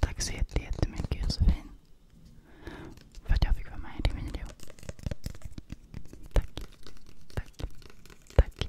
Tack så jättemycket Josefin för att jag fick vara med i din video. Tack, tack,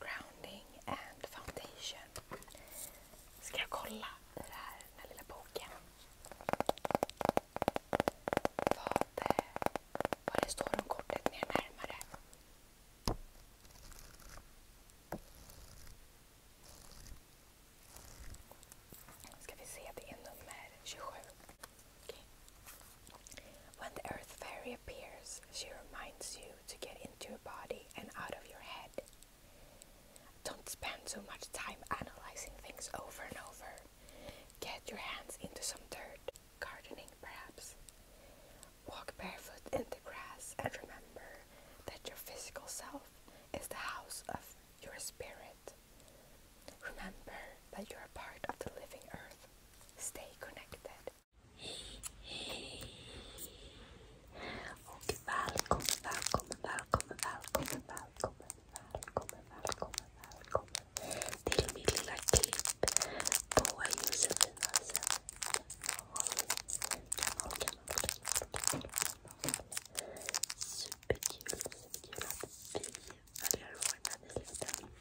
grounding and foundation. Ska kolla i det boken vad, eh, vad det står kortet mer närmare. Ska vi se, det är nummer 27. When the Earth Fairy appears, she reminds you to get into your body and out of your head. Don't spend so much time analyzing things over and over. Get your hands into some dirt, gardening perhaps. Walk barefoot in the grass and remember that your physical self is the house of your spirit. Remember that you are part of the living earth. Stay connected. Och välkommen, välkommen, välkommen, välkommen, välkommen, välkommen, välkommen, välkommen till min lilla klipp på Josefinas kanal, kanal, kanal, kanal, kanal. Superkul, superkul att vi följer vår nyligen.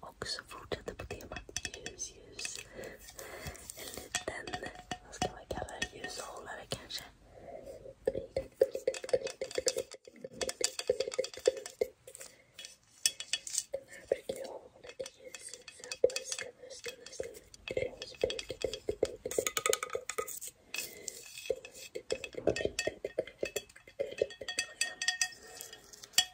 också fortsätter på temat ljus, ljus. En liten, vad ska man kalla det, ljushållare kanske. Den här brukar jag ha lite ljus i så här på hösten, hösten, hösten.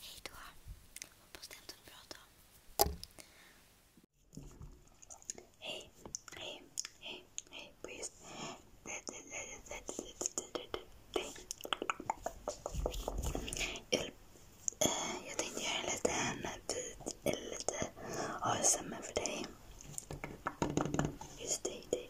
Hej då. Hoppas det inte bra då. Hej, hej, hej, hej please. Jag tänkte göra en liten bit, eller lite ASMR för dig. Just dig, dig.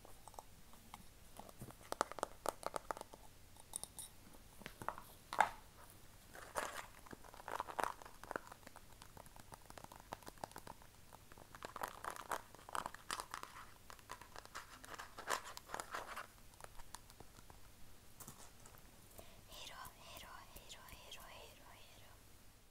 ヘロヘロヘロヘロヘロヘロ。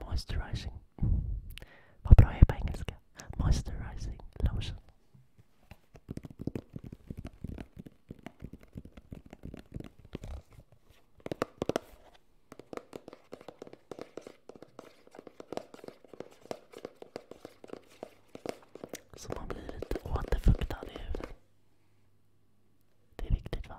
moisturizing. Vad bra jag är på Moisturizing lotion. Så man blir lite återfuktad i huden. Det är viktigt va?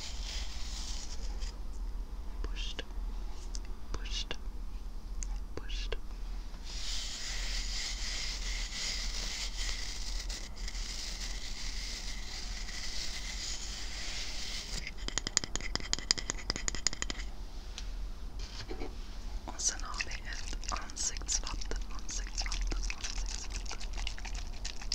pushed, pushed, pushed. Och sen har vi ett ansiktsvatten, ansiktsvatten, ansiktsvatten.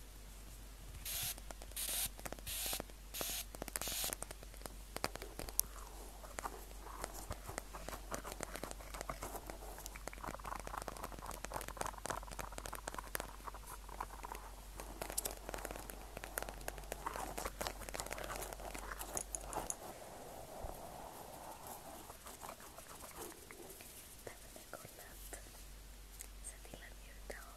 Sending love your dog.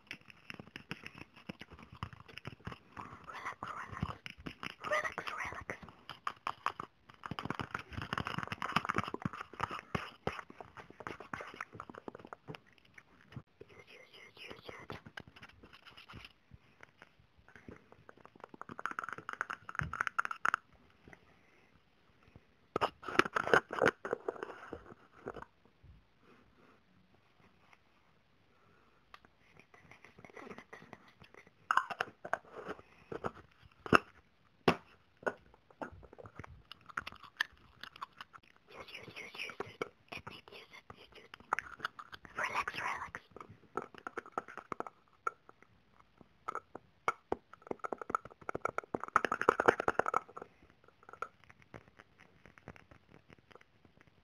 relax, relax. Shoot, shoot, shoot, shoot. Use, use, use, use, dude. It needs use, it needs use. Relax, relax.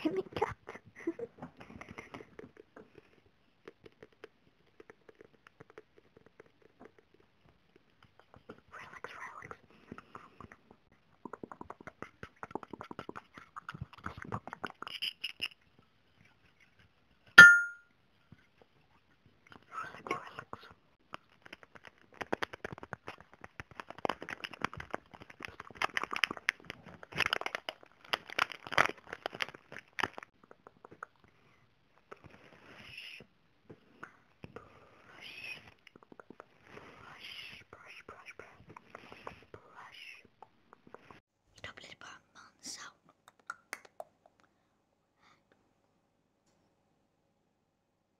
Timmy cat. relax, relax. Relax, relax brush, brush. Doppelt Bartmann sound.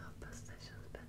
Hope oh, this session's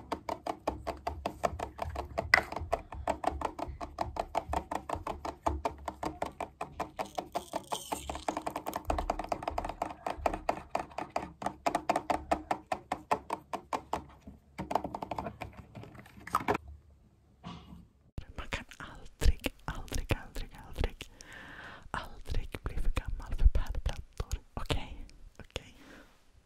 Man kan aldrig, aldrig, aldrig, aldrig, aldrig bli för gammal för pärlplattor. Okej? Okej?